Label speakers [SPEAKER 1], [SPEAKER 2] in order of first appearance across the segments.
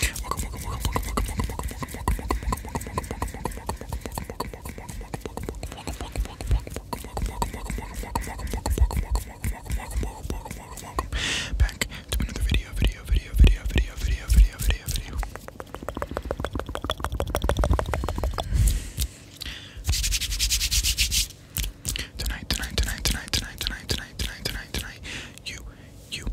[SPEAKER 1] Welcome, back to another video, video, video, video, video, video, video, video, video. Tonight, tonight, tonight, tonight, tonight, tonight, tonight, tonight, tonight, tonight. You, you,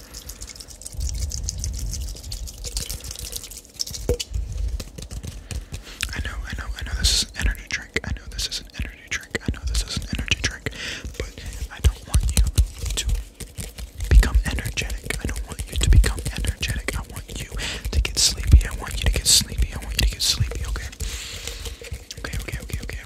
[SPEAKER 1] I know, I know, I know this is an energy drink. I know this is an energy drink. I know this is an energy drink. But I don't want you to become energetic. I don't want you to become energetic. I want you to get sleepy. I want you to get sleepy. I want you to get sleepy, okay? Okay, okay, okay, okay,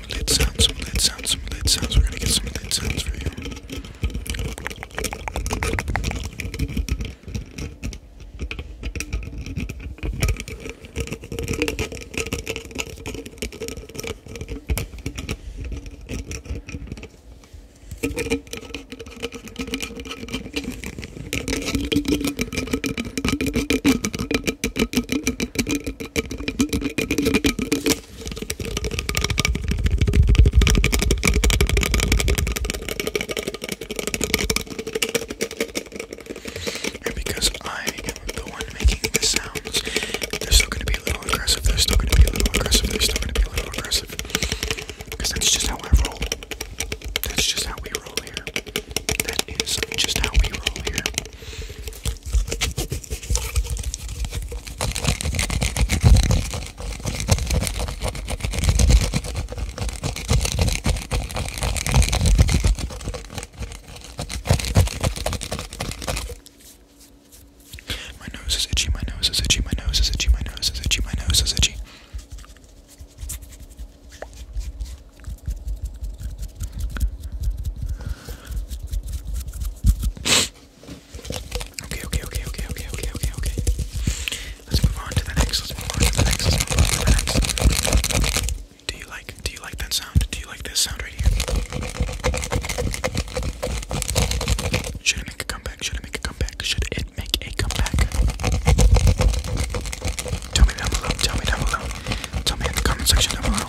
[SPEAKER 1] some lid sounds, some lid sounds, some lid sounds. We're gonna get some lid sounds for you. And because I am the one making the sounds, they're still going to be a little aggressive. They're still going to be a little aggressive. They're still going to be a little aggressive. Because that's just how I roll. That's just how we roll here. That is just how we roll here. My nose is itchy, my nose is itchy, my nose is itchy, my nose is itchy, my nose is itchy. Okay, okay, okay, okay, okay, okay, okay, okay. Let's move on to the next. Let's move on to the next. Let's move on to the next. Do you like do you like that sound? Do you like this sound right here? Should it make a comeback? Should it make a comeback? Should it make a comeback? Tell me down below. Tell me down below. Tell me in the comment section down below.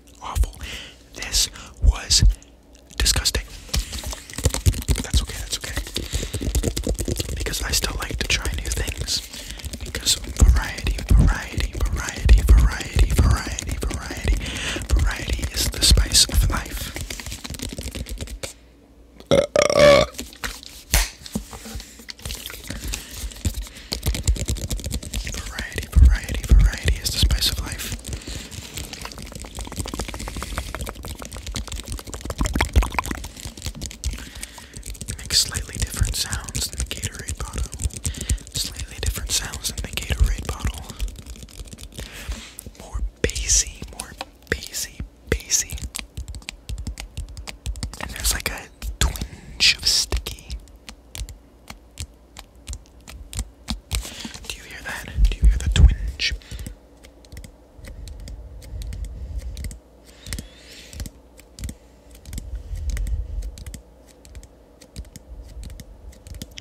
[SPEAKER 1] awful. This was disgusting. That's okay, that's okay. Because I still like to try new things. Because variety, variety, variety, variety, variety, variety, variety is the spice of life. Variety, variety, variety is the spice of life makes slightly different sounds than the Gatorade bottle. Slightly different sounds than the Gatorade bottle. More bassy, more bassy, bassy. And there's like a twinge of sticky. Do you hear that? Do you hear the twinge?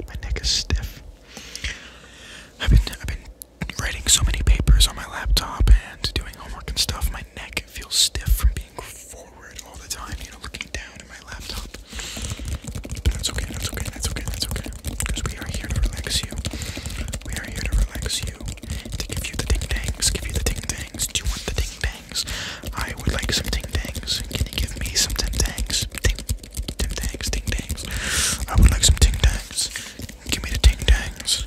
[SPEAKER 1] My neck is stiff. I've been I've been writing so many papers on my laptop and doing homework and stuff. My neck feels stiff from being all the time, you know, looking down at my laptop. that's okay, that's okay, that's okay, that's okay. Because we are here to relax you. We are here to relax you. To give you the ding dangs, give you the ding dangs. Do you want the ding dangs? I would like some ding dangs. Can you give me some ding dangs? Ding, ding dangs, ding dangs. I would like some ding dangs. Give me the ding dangs.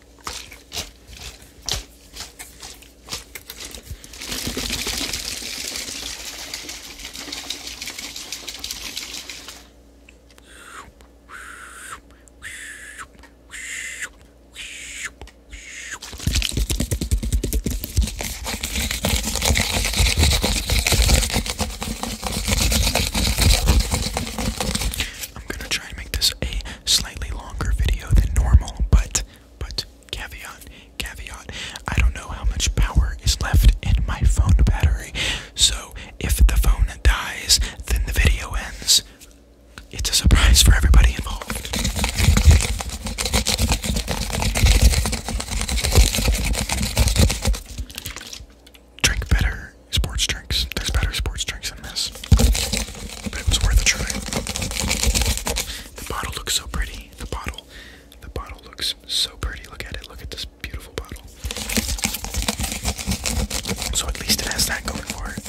[SPEAKER 1] I'm gonna try and make this a slightly longer video than normal, but but caveat, caveat, I don't know how much power is left in my phone battery. So if the phone dies, then the video ends. It's a surprise for everybody involved. Drink better sports drinks. There's better sports drinks than this. But it was worth a try. The bottle looks so pretty. The bottle. The bottle looks so pretty. Look at it. Look at this beautiful bottle. So at least it has that going for it.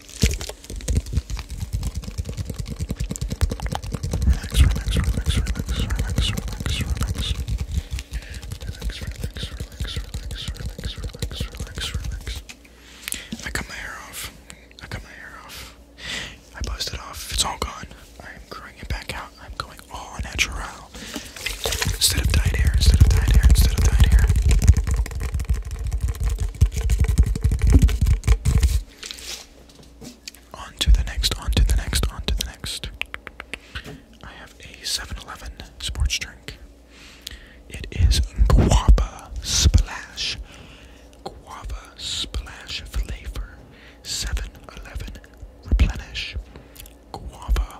[SPEAKER 1] Relax, relax, relax, relax, relax, relax, relax. Relax, relax, relax, relax, relax, relax, relax, relax. I cut my hair off. I cut my hair off. I buzzed it off. It's all gone. I am growing it back out. I'm going all natural. Instead of dyed hair, instead of dyed hair, instead of dyed hair. On to the next, on to the next, on to the next. I have a 7 Eleven sports drink. It is Guava Splash. Guava Splash flavor. 7 Eleven Replenish. Guava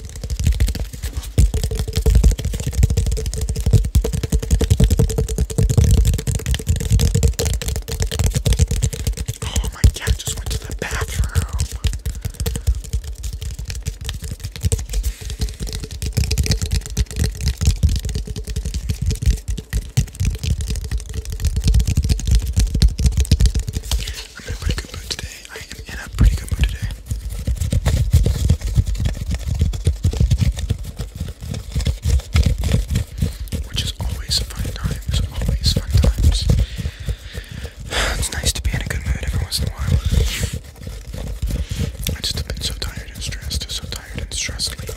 [SPEAKER 1] Oh, my cat just went to the bathroom. I'm in a pretty good mood today. I am in a pretty good mood today. Which is always fun times, always fun times. It's nice to be in a good mood every once in a while. I just have been so tired and stressed, so tired and stressed lately.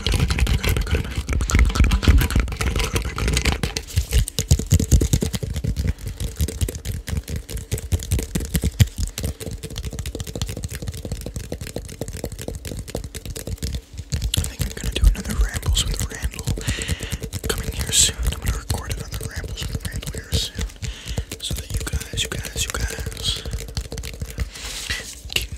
[SPEAKER 1] I think I'm gonna do another rambles with Randall coming here soon. I'm gonna record another rambles with Randall here soon, so that you guys, you guys, you guys can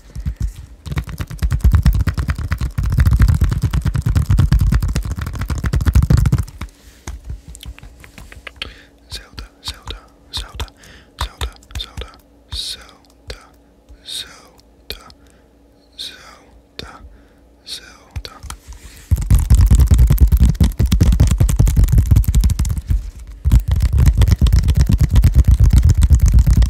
[SPEAKER 1] Zelda, Zelda, Zelda, Zelda, Zelda, Zelda, Zelda, Zelda, Zelda.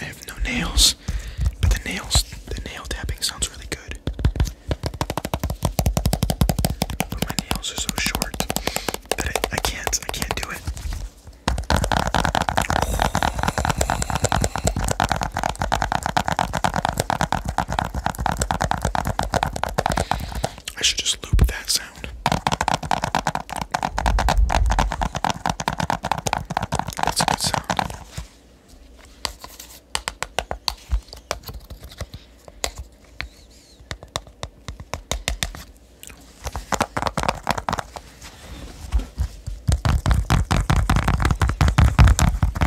[SPEAKER 1] I have no nails, but the nails, the nail tapping sounds really good. But my nails are so short that I, can't, I can't do it. I should just loop that sound. That's a good sound.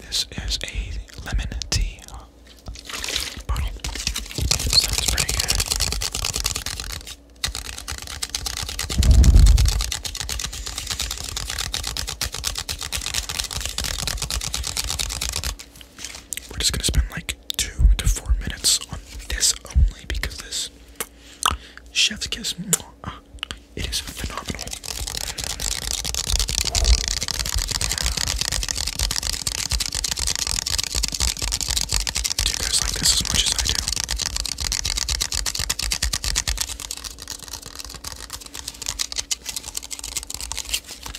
[SPEAKER 1] This is a lemon tea uh, bottle. Sounds pretty good. We're just gonna spend like two to four minutes on this only because this chef's kiss, mwah, ah, it is phenomenal. Do you guys like this as much as I do?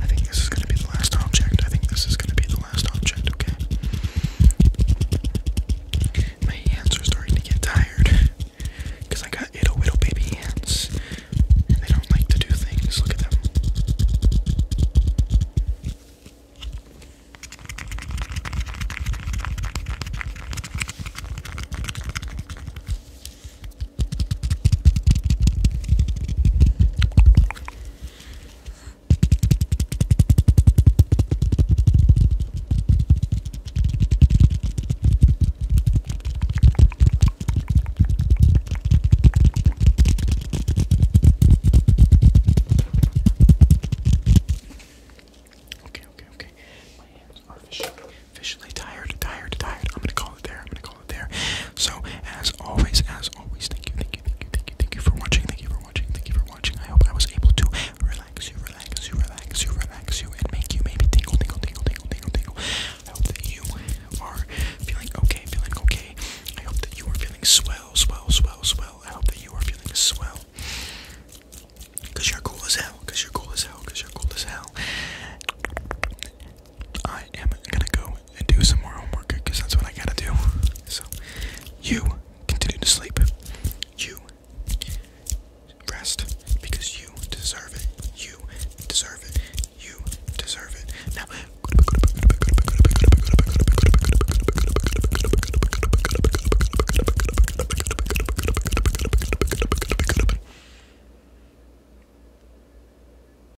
[SPEAKER 1] I think this is gonna be the last object. I think this is gonna be the last object, okay? My hands are starting to get tired. Cause I got ittle whittle baby hands. And they don't like to do things. Look at them. Okay, okay, okay. My hands are officially, officially tired, tired, tired. I'm gonna call it there. I'm gonna call call it there. So as always, as always, thank you, thank you, thank you, thank you, thank you for watching, thank you for watching, thank you for watching. I hope I was able to relax you, relax you, relax you, relax you, and make you maybe tingle, tingle, tingle, tingle, tingle, tingle. I hope that you are feeling okay, feeling okay. I hope that you are feeling swell, swell, swell, swell. I hope that you are feeling swell. Cause you're cool as hell, cause you're cool as hell, cause you're cool as hell. I am gonna go and do some more homework because that's what I gotta do. So, you continue to sleep. You rest because you deserve it. You deserve it. You deserve it. Now,